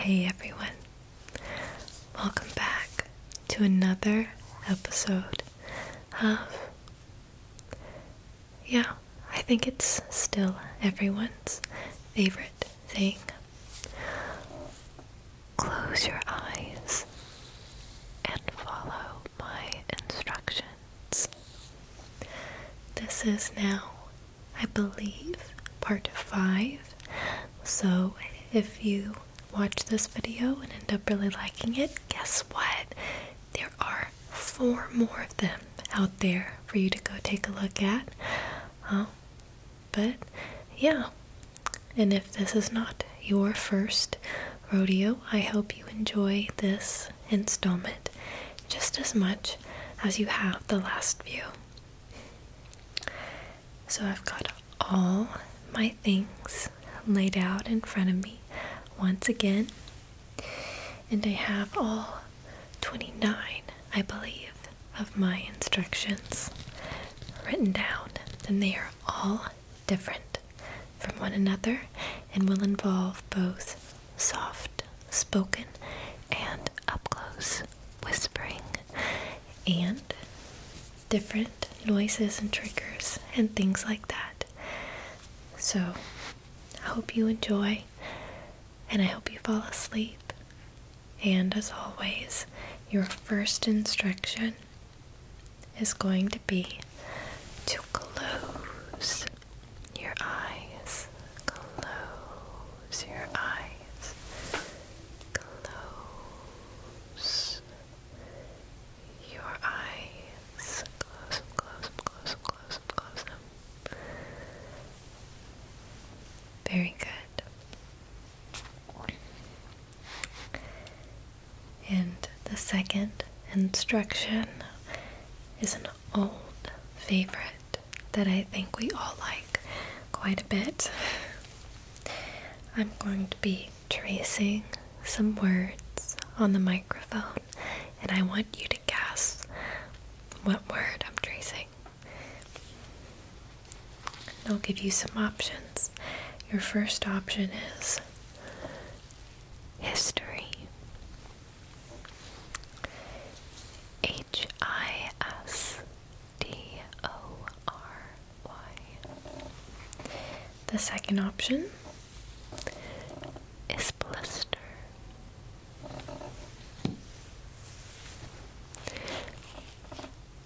Hey everyone, welcome back to another episode of. Yeah, I think it's still everyone's favorite thing. Close your eyes and follow my instructions. This is now I believe, part five. So if you watch this video and end up really liking it, guess what? There are four more of them out there for you to go take a look at. Um, but yeah, and if this is not your first rodeo, I hope you enjoy this installment just as much as you have the last few. So I've got all my things laid out in front of me once again. And I have all 29, I believe, of my instructions written down. And they are all different from one another and will involve both soft spoken and up close whispering, and different noises and triggers and things like that. So, I hope you enjoy, and I hope you fall asleep. And as always, your first instruction is going to be to close your eyes. Close your eyes. Close your eyes. Close close close close close them. Very good. And the second instruction is an old favorite that I think we all like quite a bit. I'm going to be tracing some words on the microphone, and I want you to guess what word I'm tracing. I'll give you some options. Your first option is history. H I S D O R Y. The second option is blister.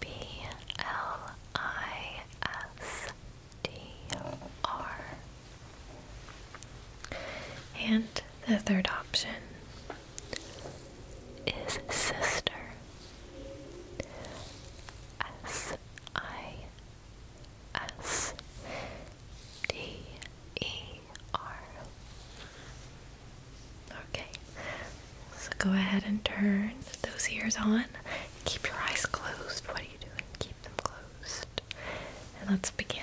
B L I S D R. And the third option is sister. S I S D E R. Okay, so go ahead and turn those ears on. Keep your eyes closed. What are you doing? Keep them closed. And let's begin.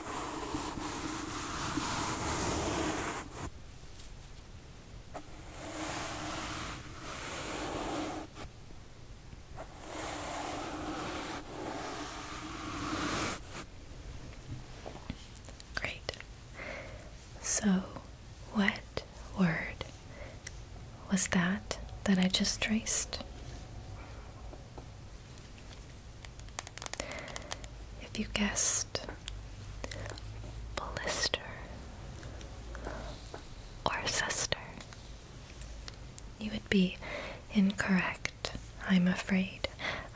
Great. So, what word was that that I just traced? If you guessed blister or sister, you would be incorrect, I'm afraid.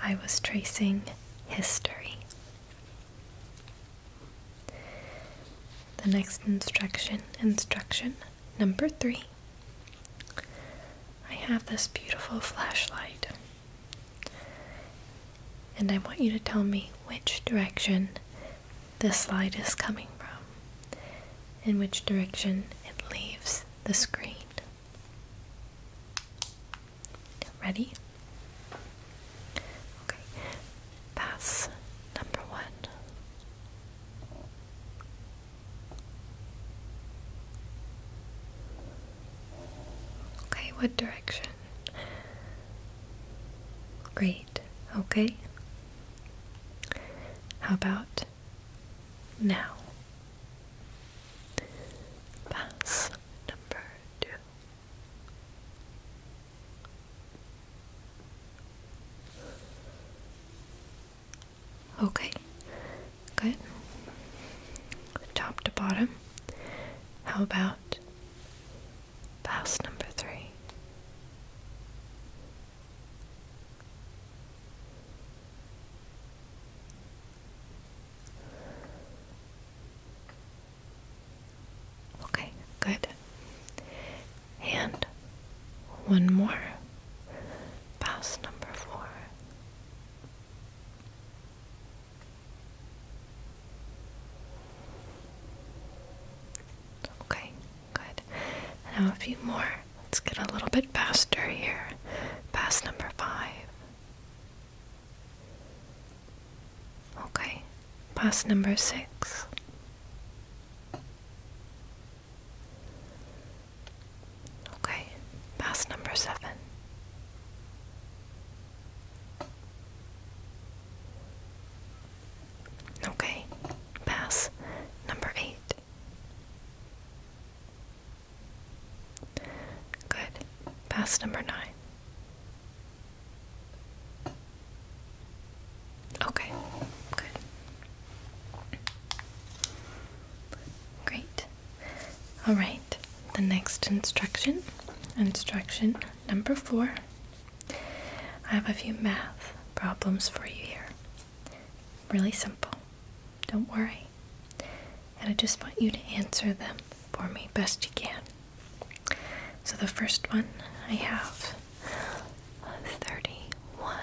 I was tracing history. The next instruction, instruction number three. I have this beautiful flashlight. And I want you to tell me which direction the slide is coming from In which direction it leaves the screen. Ready? Okay. Pass number one. Okay, what direction? Great, okay. How about now? Pass number two. Okay, Good. Top to bottom. How about house number three? Okay, good. And one more. House number four. Okay, good. Now a few more. Let's get a little bit faster here. Pass number five. Okay, pass number six. Okay, pass number seven. Okay, pass number eight. Good, pass number nine. Okay, good. Great. All right, the next instruction, instruction number four. I have a few math problems for you here. Really simple. Don't worry. And I just want you to answer them for me best you can. So the first one I have 31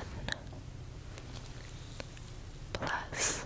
plus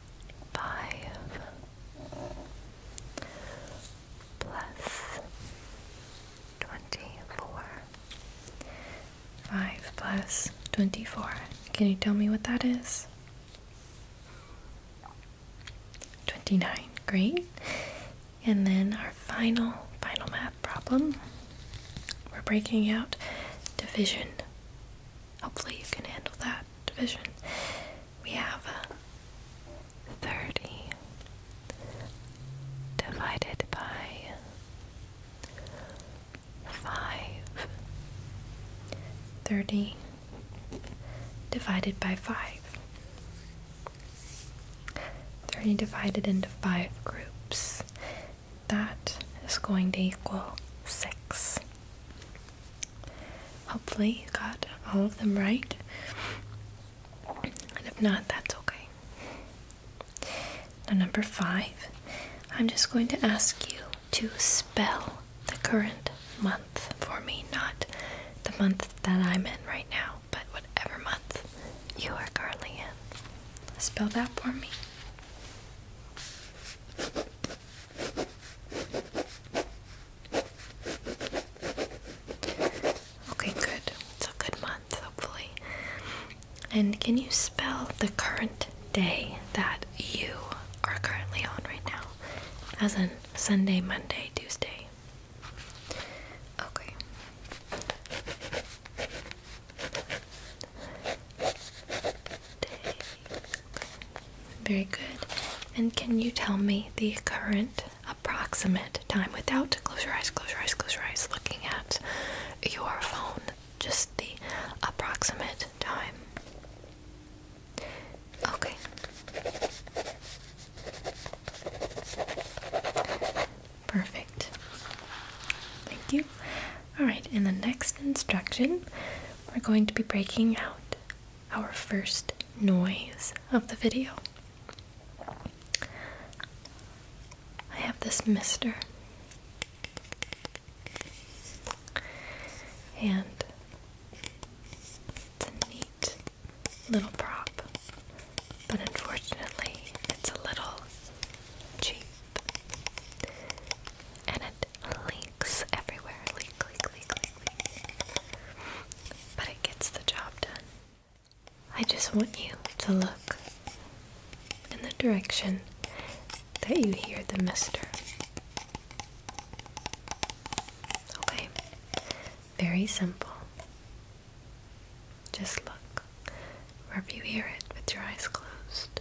five plus twenty four. Five plus twenty four. Can you tell me what that is? 29, great. And then our final, final math problem. We're breaking out division. Hopefully you can handle that division we have 30 divided by 5. 30 divided by 5. 30 divided into 5 groups. That is going to equal 6. Hopefully, you got all of them right. And if not, that's okay. number five, I'm just going to ask you to spell the current month for me, not the month that I'm in right now, but whatever month you are currently in. Spell that for me. Okay, good. It's a good month, hopefully. And can you spell the current day that you are currently on right now? As in Sunday, Monday, Tuesday. Okay. Very good. And can you tell me the current approximate time without close your eyes, close your eyes, close your eyes, looking at your phone? Just the approximate time. Okay. Perfect. Thank you. Alright, in the next instruction, we're going to be breaking out our first noise of the video. I have this mister. And it's a neat little prop, but unfortunately, it's a little cheap. And it leaks everywhere. But it gets the job done. I just want you to look in the direction that you hear the mister. Okay, very simple. Just look wherever you hear it with your eyes closed.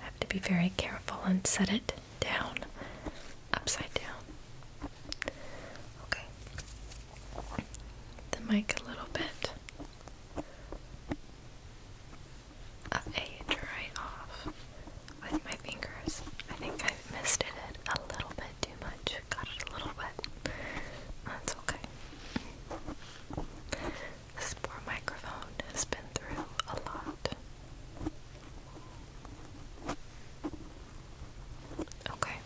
I have to be very careful and set it down upside down. Okay. The mic a little bit of uh, right off with my fingers. I think I missed it a little bit too much. Got it a little wet. That's okay. This poor microphone has been through a lot. Okay.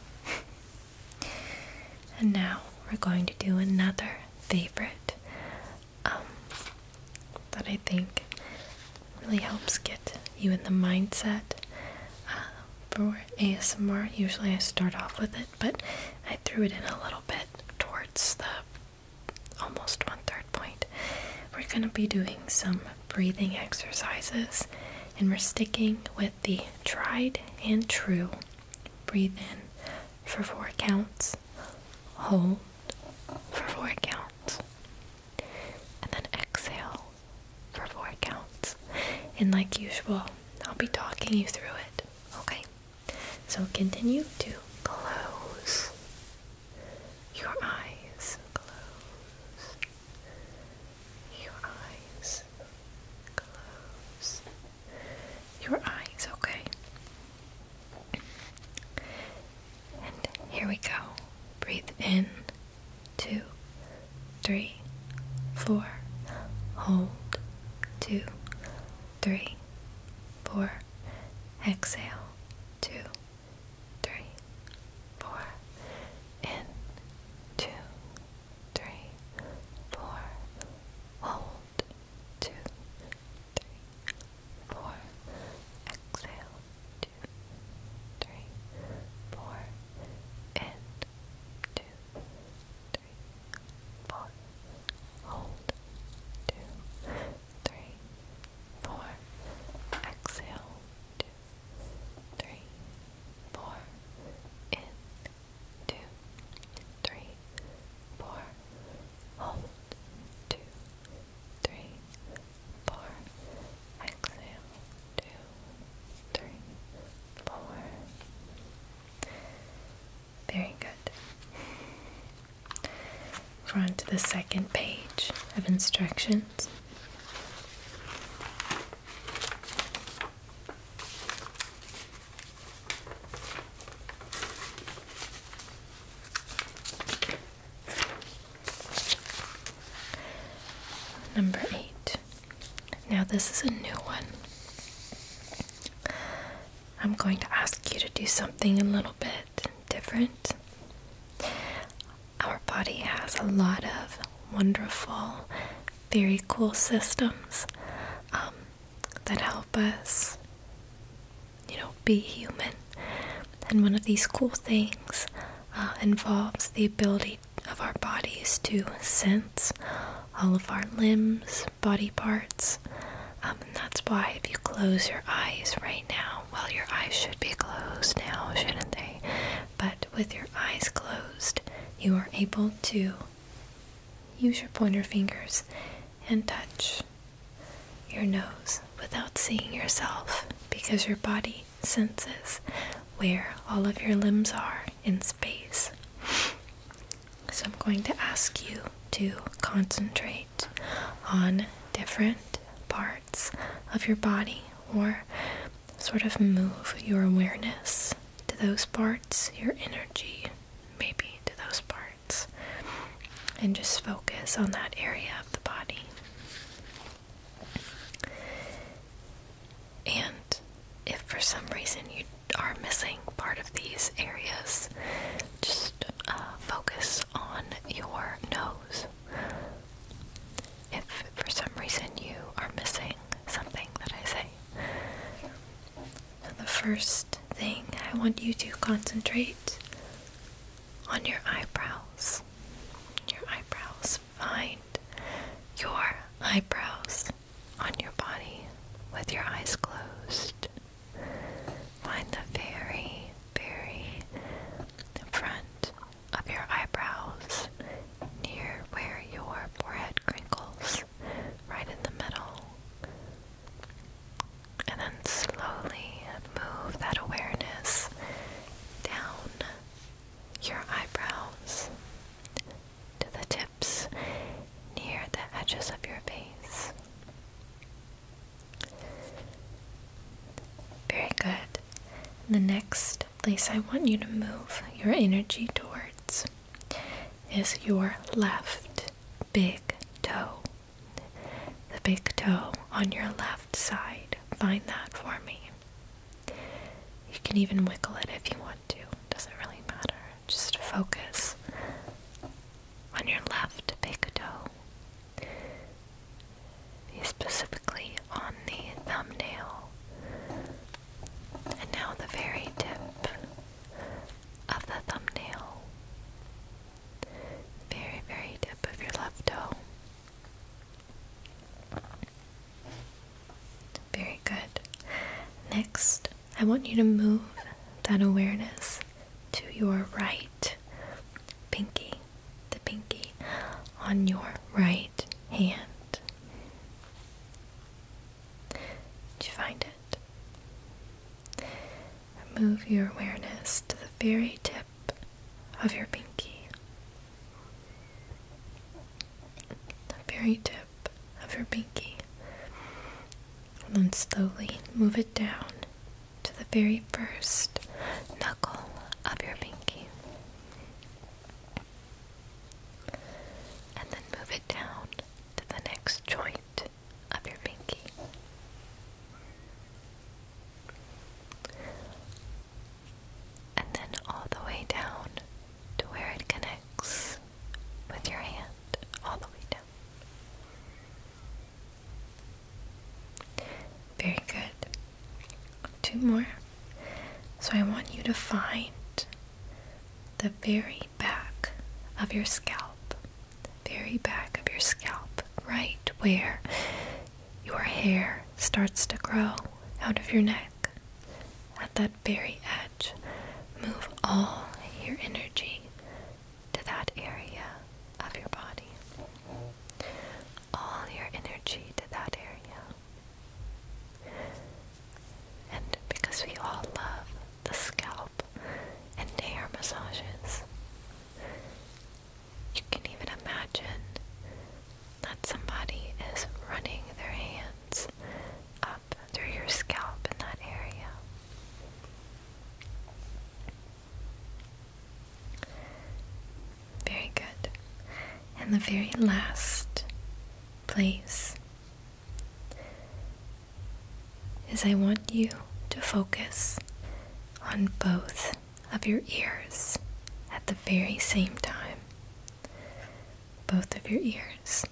and now we're going to do another favorite um, that I think really helps get you in the mindset uh, for ASMR. Usually I start off with it, but I threw it in a little bit towards the almost one third point, we're going to be doing some breathing exercises and we're sticking with the tried and true. Breathe in for four counts, hold for four counts, and then exhale for four counts. And like usual, I'll be talking you through it, okay? So continue to close your eyes. Close your eyes. Close your eyes, okay? And here we go. Breathe in. Two, three, four. Hold. Two, three, four. Exhale, two, three, four. In, two, three, four. Hold, two, three, four. Exhale, two, three, four. In, two, three, four. Hold. Two, three, four. Exhale. Two, three, four. In. Two, three, four. Hold. Two, three, four. Exhale. Two, three, four. Very good. We're on to the second page of instructions. Number eight. Now, this is a new one. I'm going to ask you to do something a little bit different. Our body has a lot of wonderful, very cool systems um, that help us, you know, be human. And one of these cool things uh, involves the ability of our bodies to sense all of our limbs, body parts, um, and that's why if you close your eyes right now, well, your eyes should be closed now, shouldn't they? But with your eyes closed, you are able to use your pointer fingers and touch your nose without seeing yourself because your body senses where all of your limbs are in space. So I'm going to ask you to concentrate on different parts of your body or sort of move your awareness to those parts, your energy maybe to those parts, and just focus on that area of the body. And if for some reason you are missing part of these areas, just uh, focus on your nose. If for some reason you are missing something that I say. the first thing I want you to concentrate on your eyebrows. Your eyebrows. Find your eyebrows on your body with your eyes closed. Find the very, very front of your eyebrows near where your forehead crinkles, right in the middle. And then slowly move that awareness down your eyebrows to the tips near the edges of your face. Very good. the next place I want you to move your energy towards is your left big toe. The big toe on your left side. Find that for me. You can even wiggle it if you want to. Doesn't really matter. Just focus on your left big toe, specifically on the thumbnail, and now the very tip of the thumbnail, very, very tip of your left toe. Very good. Next, I want you to move that awareness to your right pinky, the pinky on your right hand. Did you find it? Move your awareness to the very tip of your pinky, the very tip of your pinky and then slowly move it down to the very first knuckle of your pinky. And then move it down to the next joint of your pinky. And then all the way down to where it connects with your hand, all the way down. Very good. Two more. So I want you to find the very back of your scalp, very back of your scalp, right where your hair starts to grow out of your neck. At that very edge, move all your energy to that area of your body. All your energy to that area. And because we all love the scalp and hair massages, you can even imagine that somebody is running their hands up through your scalp in that area. Very good. And the very last place is I want you to focus on both of your ears at the very same time. Both of your ears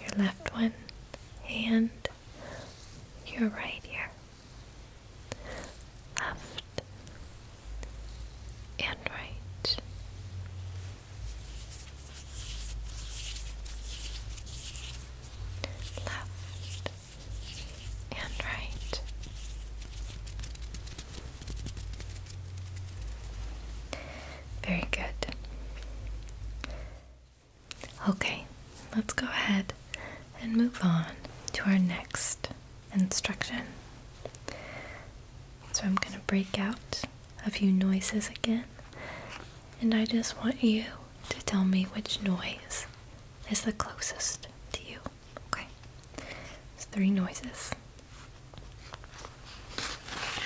your left one and your right ear, left and right. Left and right. Very good. Okay, let's go ahead and move on to our next instruction. So I'm going to break out a few noises again, and I just want you to tell me which noise is the closest to you. Okay, it's three noises.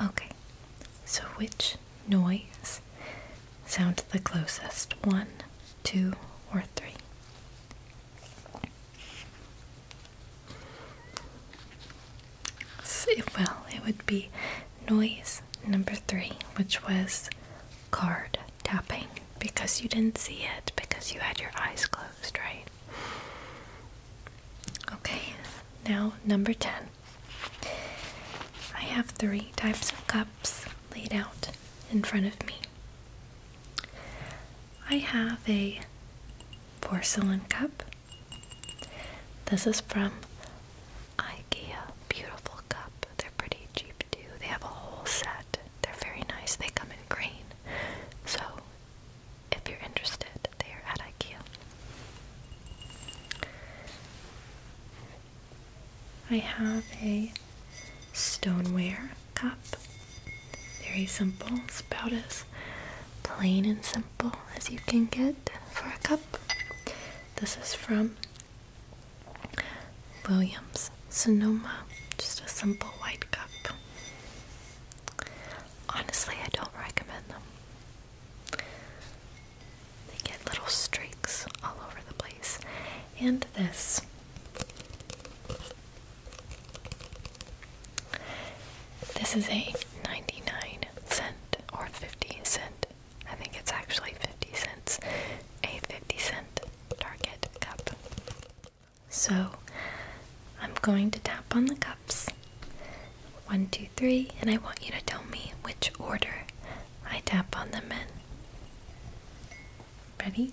Okay, so which noise sounds the closest? One, two, or three? well, it would be noise number three, which was card tapping because you didn't see it because you had your eyes closed, right? Okay, now number 10. I have three types of cups laid out in front of me. I have a porcelain cup. This is from IKEA. Beautiful cup. They're pretty cheap too. They have a whole set. They're very nice. They come in green. So if you're interested, they are at IKEA. I have a stoneware cup. Very simple. It's about as plain and simple as you can get for a cup. This is from Williams Sonoma. Just a simple white cup. Honestly, I don't recommend them. They get little streaks all over the place. And this this is a 99 cent or 50 cent. I think it's actually 50 cents. A 50 cent Target cup. So I'm going to tap on the cups. One, two, three, and I want you to tell me which order I tap on them in. Ready?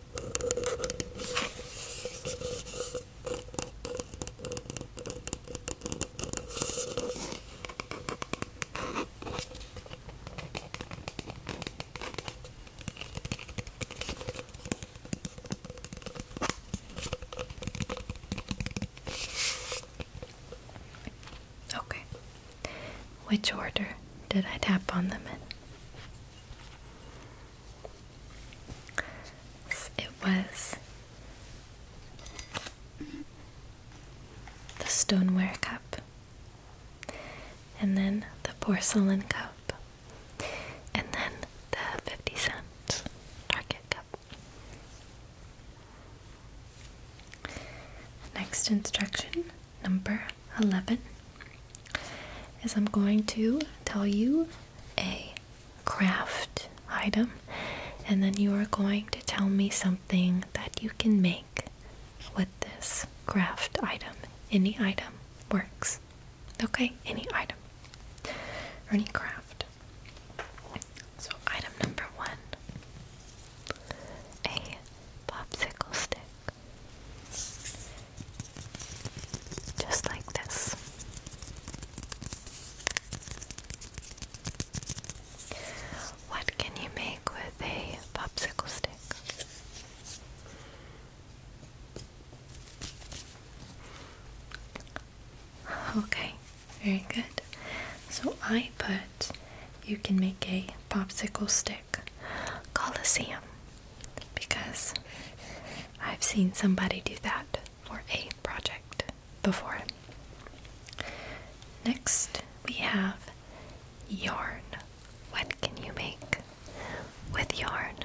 Okay. Which order did I tap on them in? It was the stoneware cup, and then the porcelain cup, and then the 50 cent Target cup. Next instruction, number 11, is I'm going to tell you a craft item, and then you are going to tell me something that you can make with this craft item. Any item works. Okay, any item or any craft. So, item number one a popsicle stick. Just like this. What can you make with a popsicle stick? Okay, very good. So I put you can make a popsicle stick. Coliseum because I've seen somebody do that for a project before. Next, we have yarn. What can you make with yarn?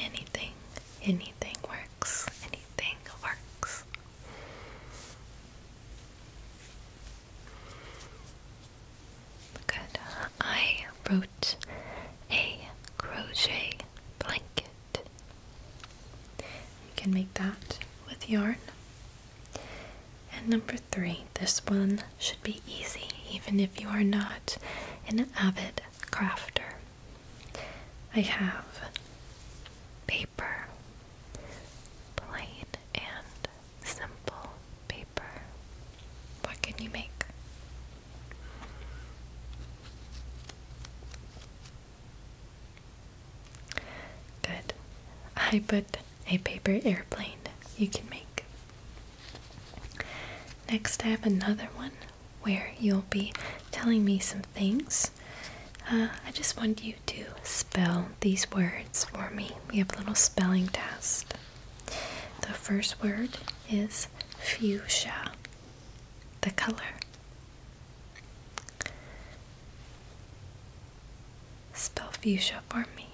Anything, anything works, anything works. Good. I wrote a crochet blanket. You can make that with yarn. And number three, this one should be easy, even if you are not an avid crafter. I have paper, plain and simple paper. What can you make? Good. I put a paper airplane you can make. Next, I have another one where you'll be telling me some things. Uh, I just want you to spell these words for me. We have a little spelling test. The first word is fuchsia, the color. Spell fuchsia for me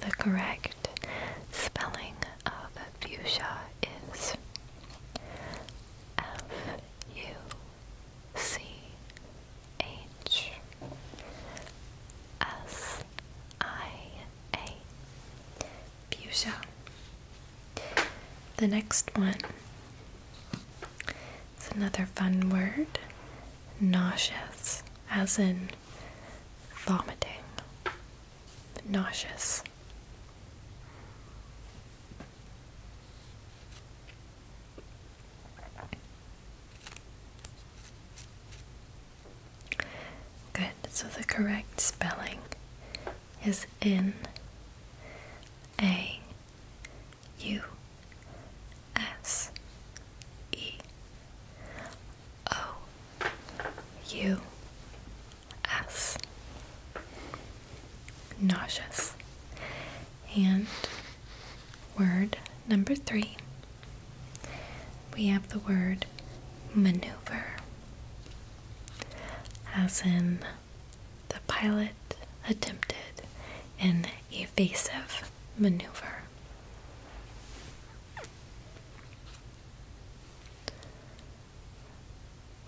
the correct spelling of fuchsia is F U C H S I A. Fuchsia. The next one its another fun word nauseous, as in vomiting, nauseous. Good, so the correct spelling is in a u s e O U S. Nauseous. And word number three, we have the word maneuver, as in the pilot attempted an evasive maneuver.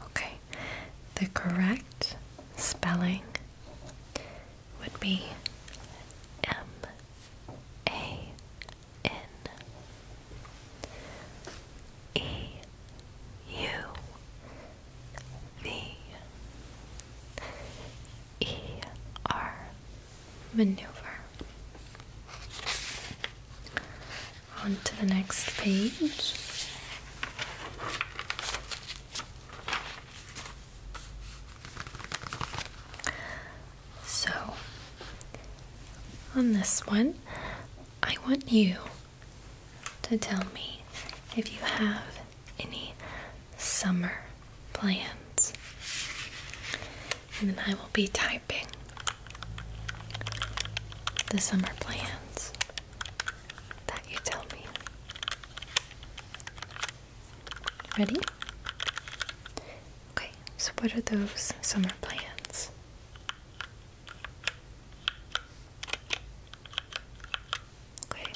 Okay, the correct spelling would be M A N E U V E R maneuver. On to the next page. So, on this one, I want you to tell me if you have any summer plans. And then I will be typing the summer plans that you tell me. Ready? Okay, so what are those summer plans? Okay.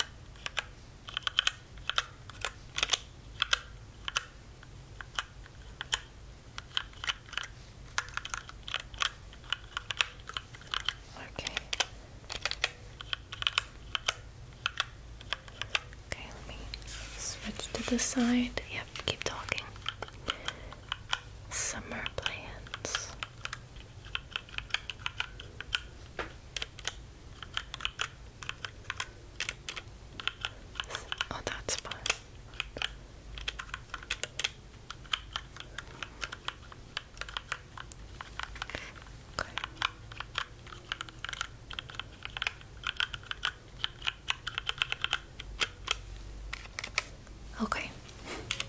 Okay. Okay, let me switch to the side. Yep, keep talking. Summer plans. Oh, that's fun. Okay. Okay,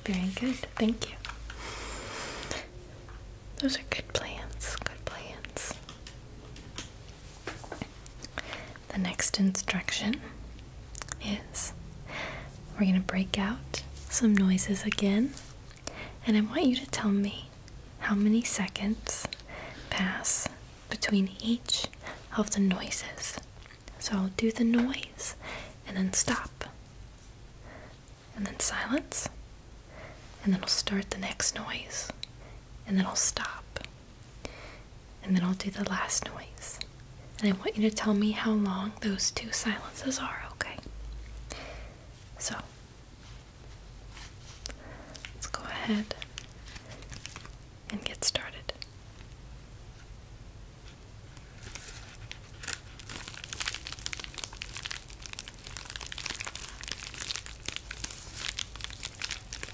very good. Thank you. Those are good plans. Good plans. The next instruction is we're going to break out some noises again, and I want you to tell me how many seconds pass between each of the noises. So I'll do the noise and then stop, and then silence, and then I'll start the next noise, and then I'll stop. And then I'll do the last noise. And I want you to tell me how long those two silences are, okay? So, let's go ahead and get started.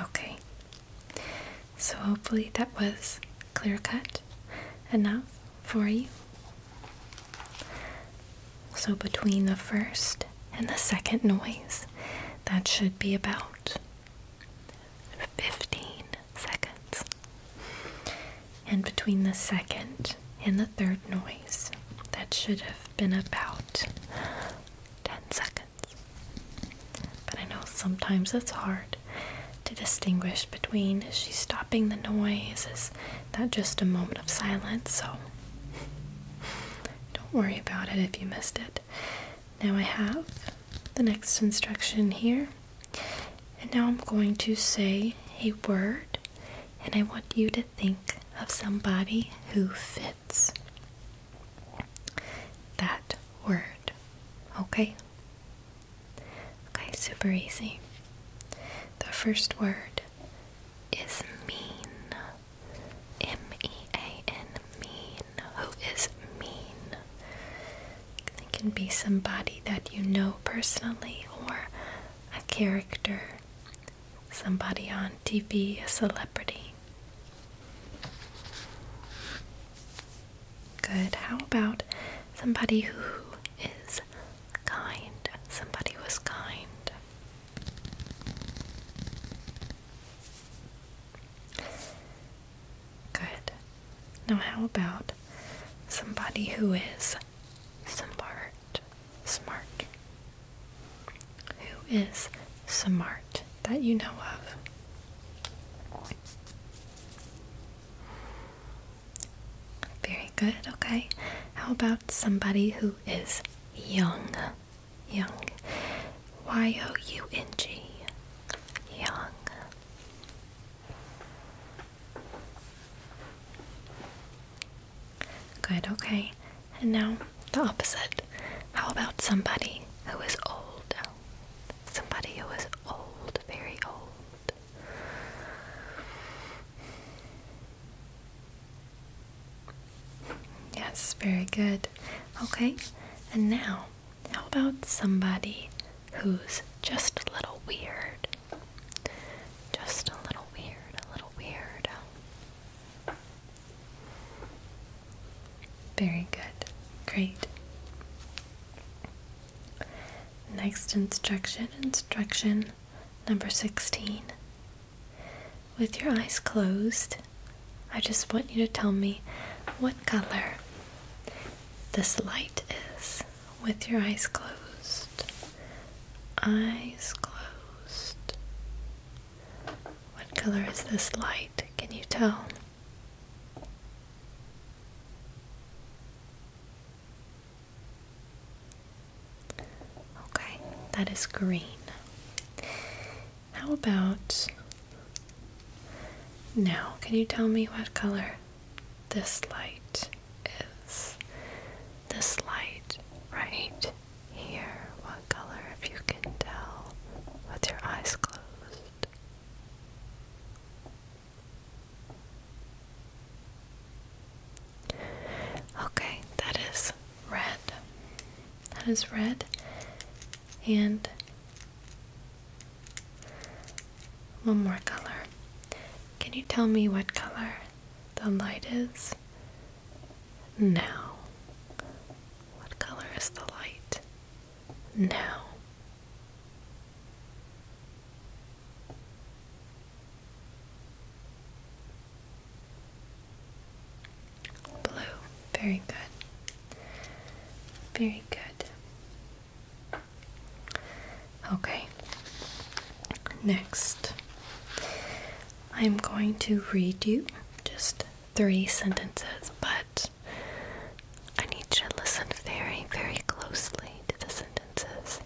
Okay, so hopefully that was clear cut enough for you. So, between the first and the second noise, that should be about 15 seconds. And between the second and the third noise, that should have been about 10 seconds. But I know sometimes it's hard to distinguish between is she stopping the noise? Is that just a moment of silence? So don't worry about it if you missed it. Now I have the next instruction here. And now I'm going to say a word, and I want you to think of somebody who fits that word. Okay? Okay, super easy. The first word is mean. M E A N, mean who is mean. It can be somebody that you know personally or a character, somebody on TV, a celebrity. Good. How about somebody who is kind? Somebody was kind. Good. Now, how about somebody who is smart? Smart. Who is smart that you know of? Very good, okay. How about somebody who is young? Young. Y O U N G. Young. Good, okay. And now the opposite. How about somebody who is old? Somebody who is old, very old. Yes, very good. Okay, and now how about somebody who's just a little weird? Just a little weird, a little weird. Very good. Great. Next instruction, instruction number 16. With your eyes closed, I just want you to tell me what color this light is with your eyes closed. Eyes closed. What color is this light? Can you tell? Okay, that is green. How about now? Can you tell me what color this light is? This light right here. What color, if you can tell, with your eyes closed? Okay, that is red. That is red and one more color. Can you tell me what color the light is? Now. What color is the light? Now. Blue. Very good. Very good. Okay. Next, I'm going to read you just three sentences, but I need you to listen very, very closely to the sentences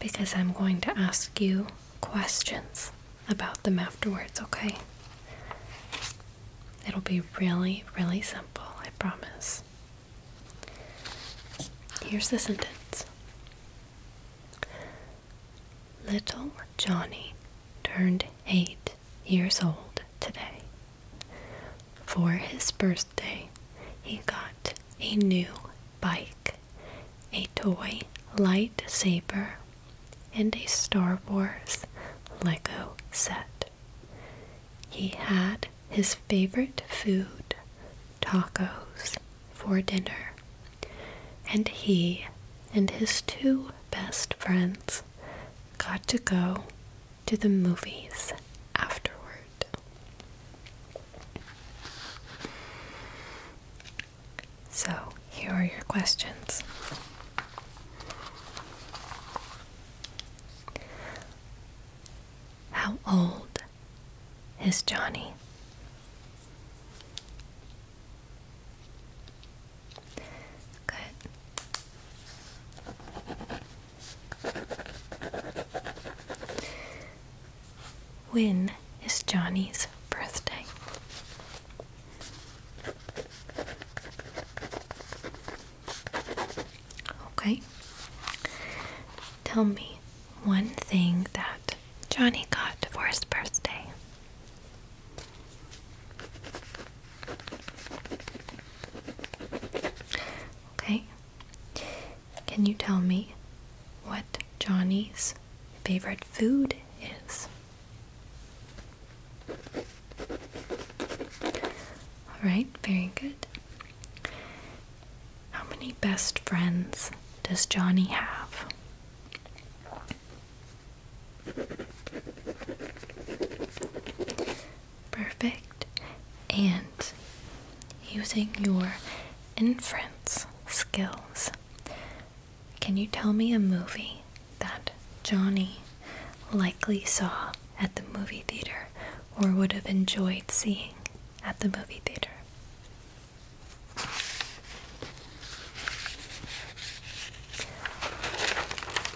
because I'm going to ask you questions about them afterwards, okay? It'll be really, really simple, I promise. Here's the sentence Little Johnny turned eight years old today. For his birthday, he got a new bike, a toy lightsaber, and a Star Wars Lego set. He had his favorite food, tacos, for dinner, and he and his two best friends got to go to the movies afterward. So, here are your questions. How old is Johnny? Good. When is Johnny's birthday? Okay. Tell me one thing that Johnny got for his birthday. Okay. Can you tell me what Johnny's favorite food is? All right, very good. How many best friends does Johnny have? Perfect. And using your inference skills, can you tell me a movie that Johnny likely saw at the movie theater or would have enjoyed seeing at the movie theater.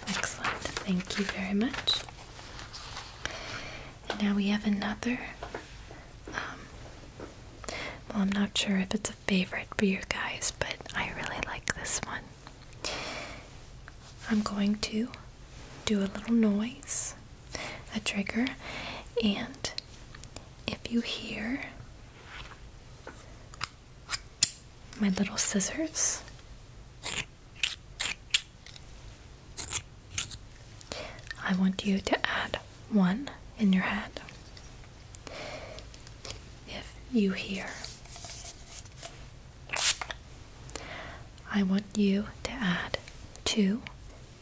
Excellent, thank you very much. And now we have another. Um, well, I'm not sure if it's a favorite for you guys, but I really like this one. I'm going to do a little noise, a trigger, and if you hear my little scissors, I want you to add one in your head. If you hear I want you to add two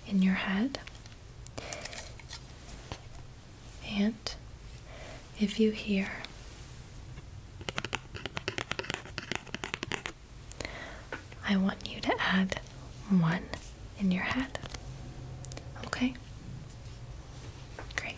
in your head. And if you hear I want you to add one in your head. Okay? Great.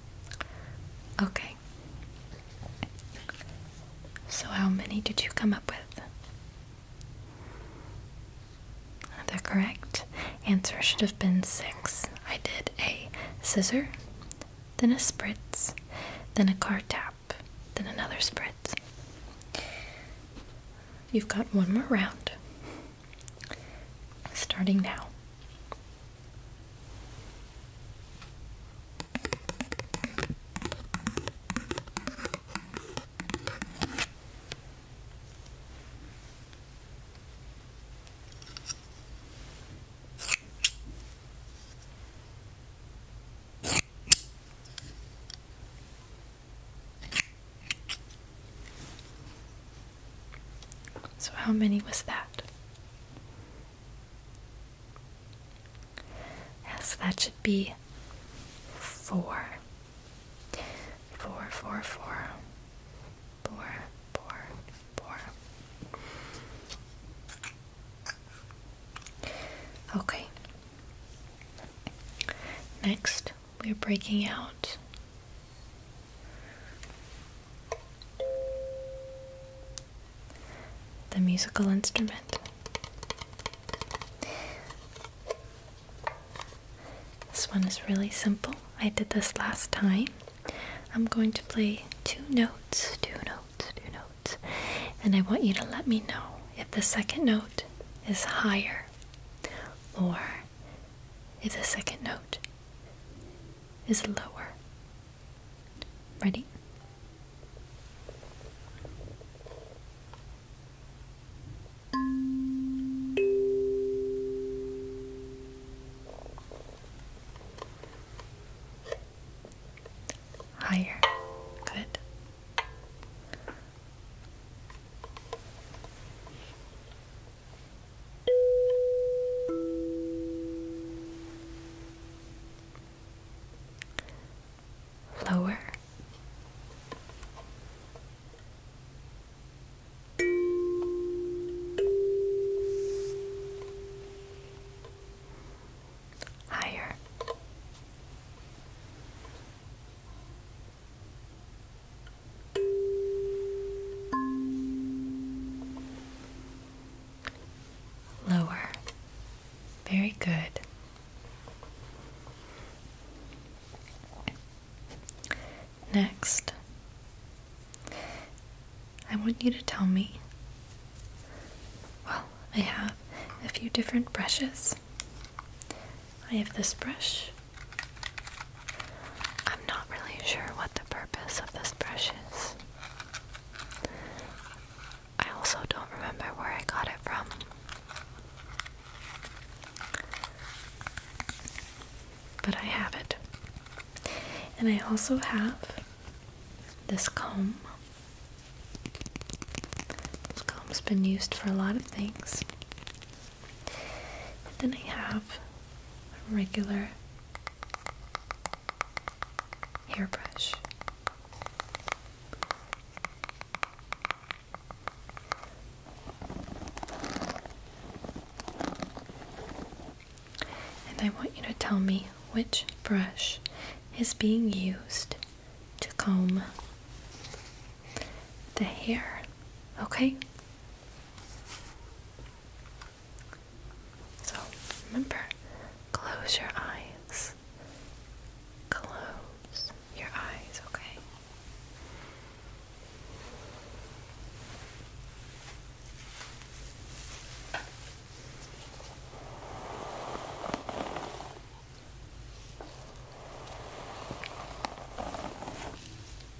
Okay. So, how many did you come up with? The correct answer should have been six. I did a scissor, then a spritz, then a card tap, then another spritz. You've got one more round starting now. So, how many was that? Yes, that should be four. Four, Okay. Next, we're breaking out the musical instrument. This one is really simple. I did this last time. I'm going to play two notes, two notes, two notes, and I want you to let me know if the second note is higher or if the second note is lower. Ready? Higher. Good lower. Higher. Lower. Very good. Next, I want you to tell me. Well, I have a few different brushes. I have this brush, I'm not really sure what the purpose of this brush is. I also don't remember where I got it from. But I have it. And I also have this comb. This comb's been used for a lot of things. And then I have a regular hairbrush. And I want you to tell me which brush is being used to comb the hair, okay? So remember, close your eyes. Close your eyes, okay?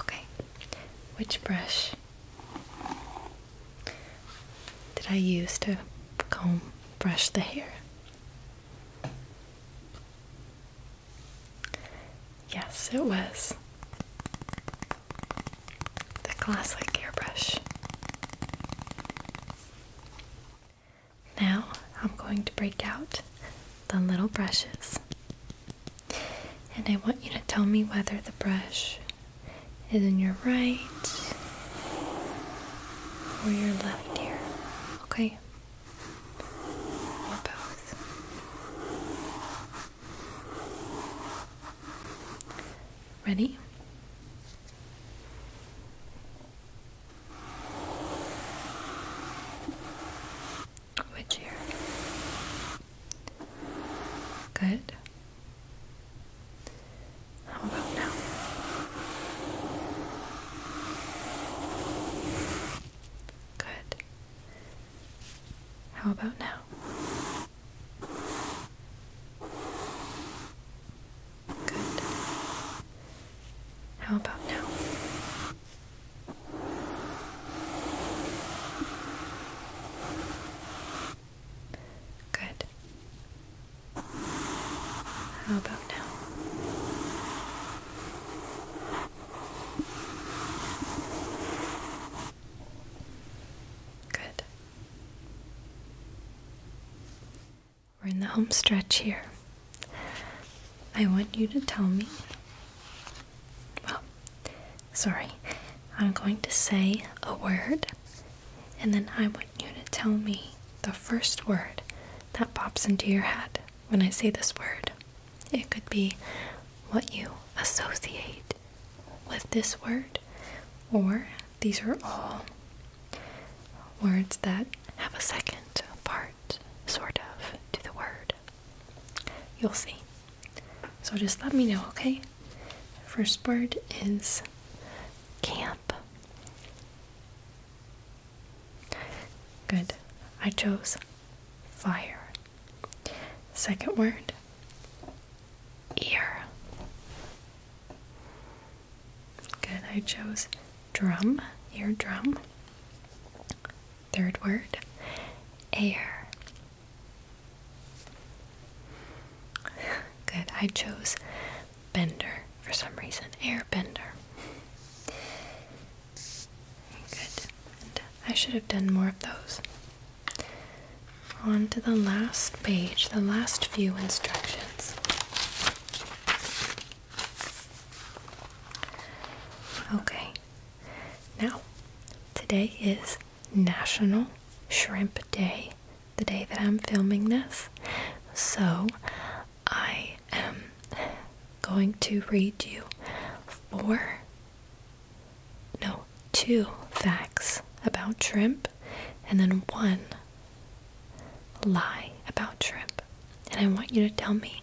Okay, which brush that I use to comb, brush the hair. Yes, it was the glass-like hairbrush. Now I'm going to break out the little brushes. And I want you to tell me whether the brush is in your right or your left ear, okay? both. Ready? Which ear? Good. How about now? Good. How about now? Good. How about now? Good. How about now? Good. We're in the home stretch here. I want you to tell me. Well, sorry. I'm going to say a word and then I want you to tell me the first word that pops into your head when I say this word. It could be what you associate with this word, or these are all words that have a second part, sort of, to the word. You'll see. So just let me know, okay? First word is camp. Good. I chose fire. Second word ear. Good. I chose drum, Ear drum. Third word air. Good. I chose bender for some reason. Airbender. Good. I should have done more of those. On to the last page, the last few instructions. Okay. Now, today is National Shrimp Day the day that I'm filming this. So I am going to read you four, no, two facts about shrimp and then one lie about shrimp. And I want you to tell me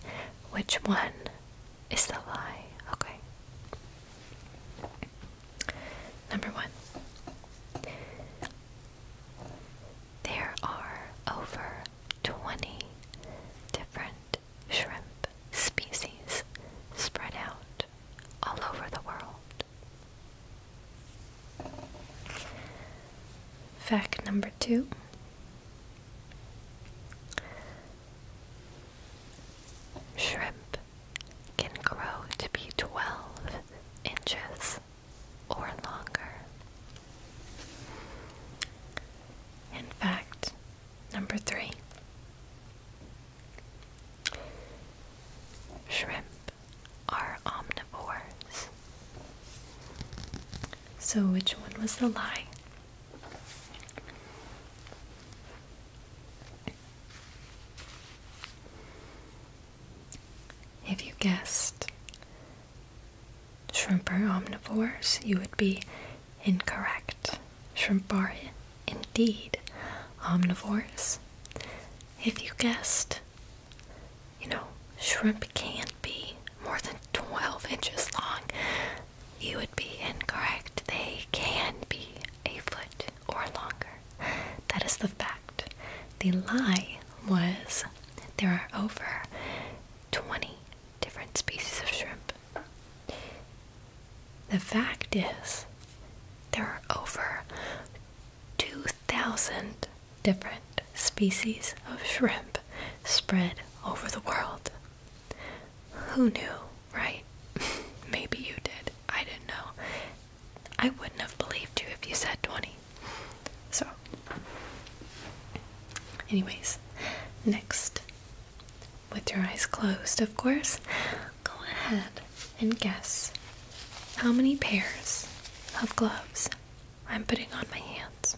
which one is the lie, okay? Number one, there are over 20 different shrimp species spread out all over the world. Fact number two. Shrimp can grow to be 12 inches or longer. In fact, number three shrimp are omnivores. So, which one was the lie? If you guessed shrimp are omnivores, you would be incorrect. Shrimp are indeed omnivores. If you guessed, you know, shrimp can't be more than 12 inches long, you would be incorrect. They can be a foot or longer. That is the fact. The lie was there are over 20 different species of shrimp. The fact is there are over 2,000 different species of shrimp spread over the world. Who knew, right? Maybe you did. I didn't know. I wouldn't have believed you if you said 20. So, anyways, next, with your eyes closed, of course, go ahead and guess how many pairs of gloves I'm putting on my hands.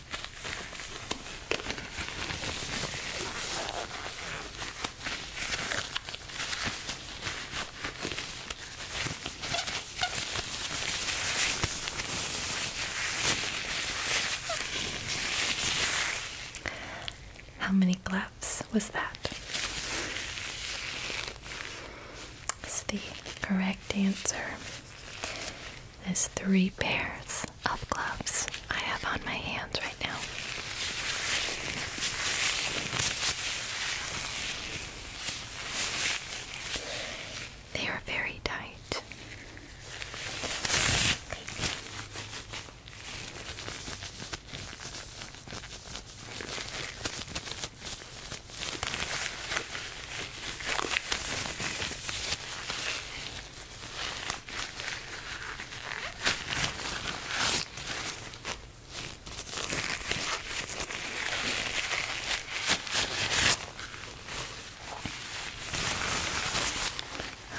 How many claps was that? It's the correct answer. There's three pairs of gloves I have on my hands right now. They are very tight.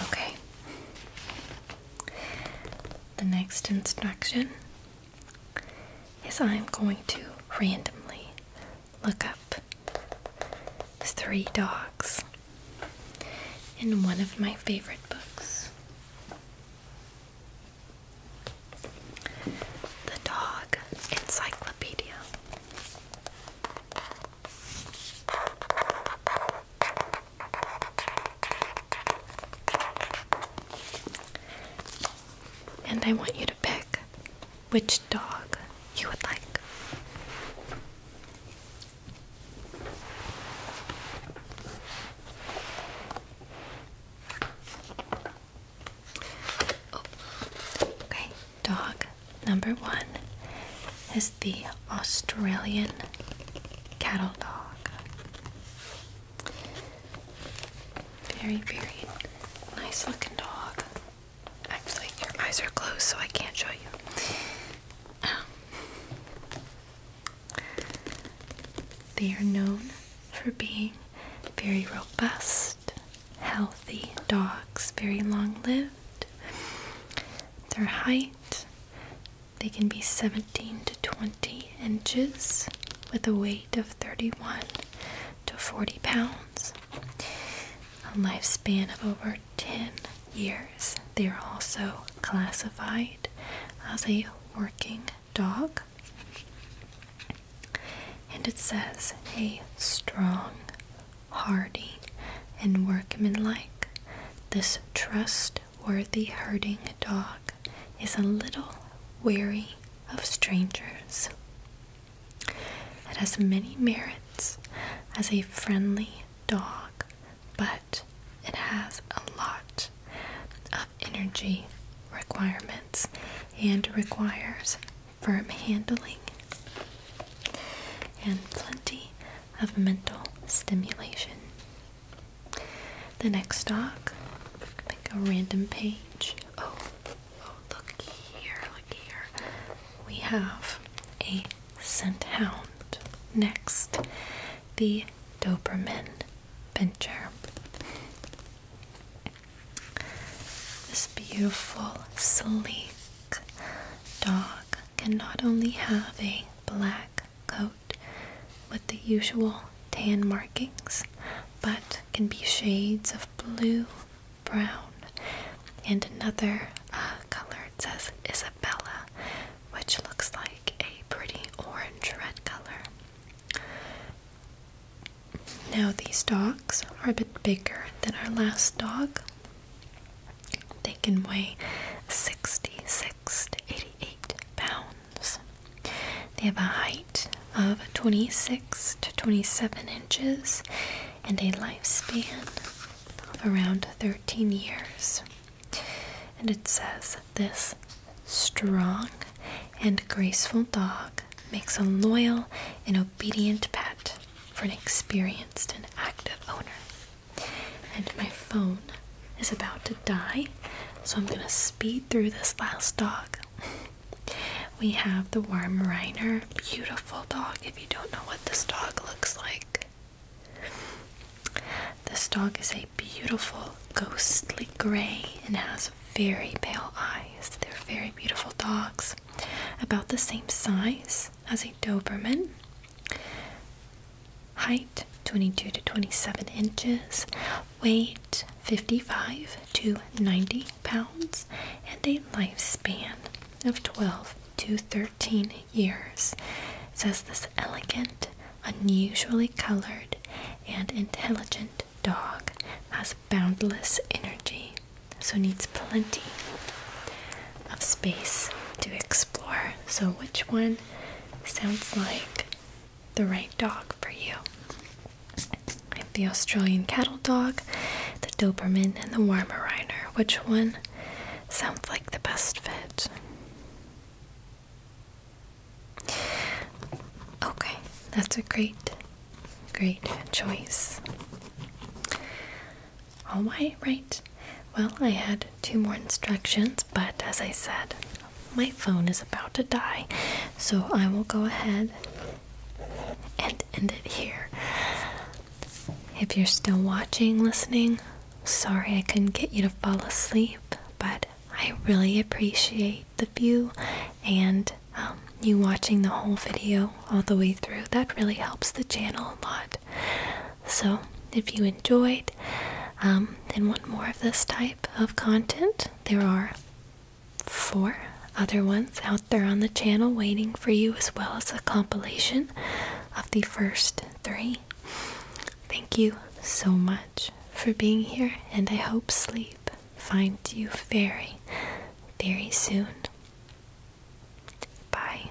Okay. The next instruction is I'm going to randomly look up three dogs in one of my favorite books. The Dog Encyclopedia. And I want you to pick which dog you would like. Oh, okay, dog number one is the Australian cattle dog. Very, very nice looking dog. Actually, your eyes are closed, so I can't show you. Um, they are known for being very robust, healthy dogs, very long lived. Their height, they can be 17 to 20 inches with a weight of 31 to 40 pounds, a lifespan of over 10 years. They are also classified as a working dog. And it says a strong, hardy, and workmanlike. This trustworthy herding dog is a little wary of strangers. It has many merits as a friendly dog, but it has a lot of energy requirements and requires firm handling and plenty of mental stimulation. The next dog, pick a random page. Oh, look here, look here. We have a scent hound. Next, the Doberman Pinscher. This beautiful, sleek dog can not only have a black coat with the usual tan markings, but can be shades of blue, brown, and another uh, color it says Isabella, which looks like a pretty orange red color. Now, these dogs are a bit bigger than our last dog. They can weigh 66 to 88 pounds. They have a height of 26 to 27 inches and a lifespan of around 13 years. And it says this strong and graceful dog makes a loyal and obedient pet for an experienced and active owner. And my phone is about to die, so I'm going to speed through this last dog. we have the Warm Reiner, beautiful dog if you don't know what this dog looks like. This dog is a beautiful ghostly gray and has very pale eyes. They're very beautiful dogs, about the same size as a Doberman. Height 22 to 27 inches, weight 55 to 90 pounds, and a lifespan of 12 to 13 years. says this elegant, unusually colored, and intelligent dog has boundless energy, so needs plenty of space to explore. So, which one sounds like the right dog for you? the Australian cattle dog the Doberman and the Weimaraner. Which one sounds like the best fit? Okay, that's a great, great choice. All right, right. Well, I had two more instructions, but as I said, my phone is about to die, so I will go ahead and end it here. If you're still watching, listening, sorry I couldn't get you to fall asleep, but I really appreciate the view and um, you watching the whole video all the way through. That really helps the channel a lot. So, if you enjoyed um, and want more of this type of content, there are four other ones out. They're on the channel waiting for you, as well as a compilation of the first three. Thank you so much for being here, and I hope sleep finds you very, very soon. Bye.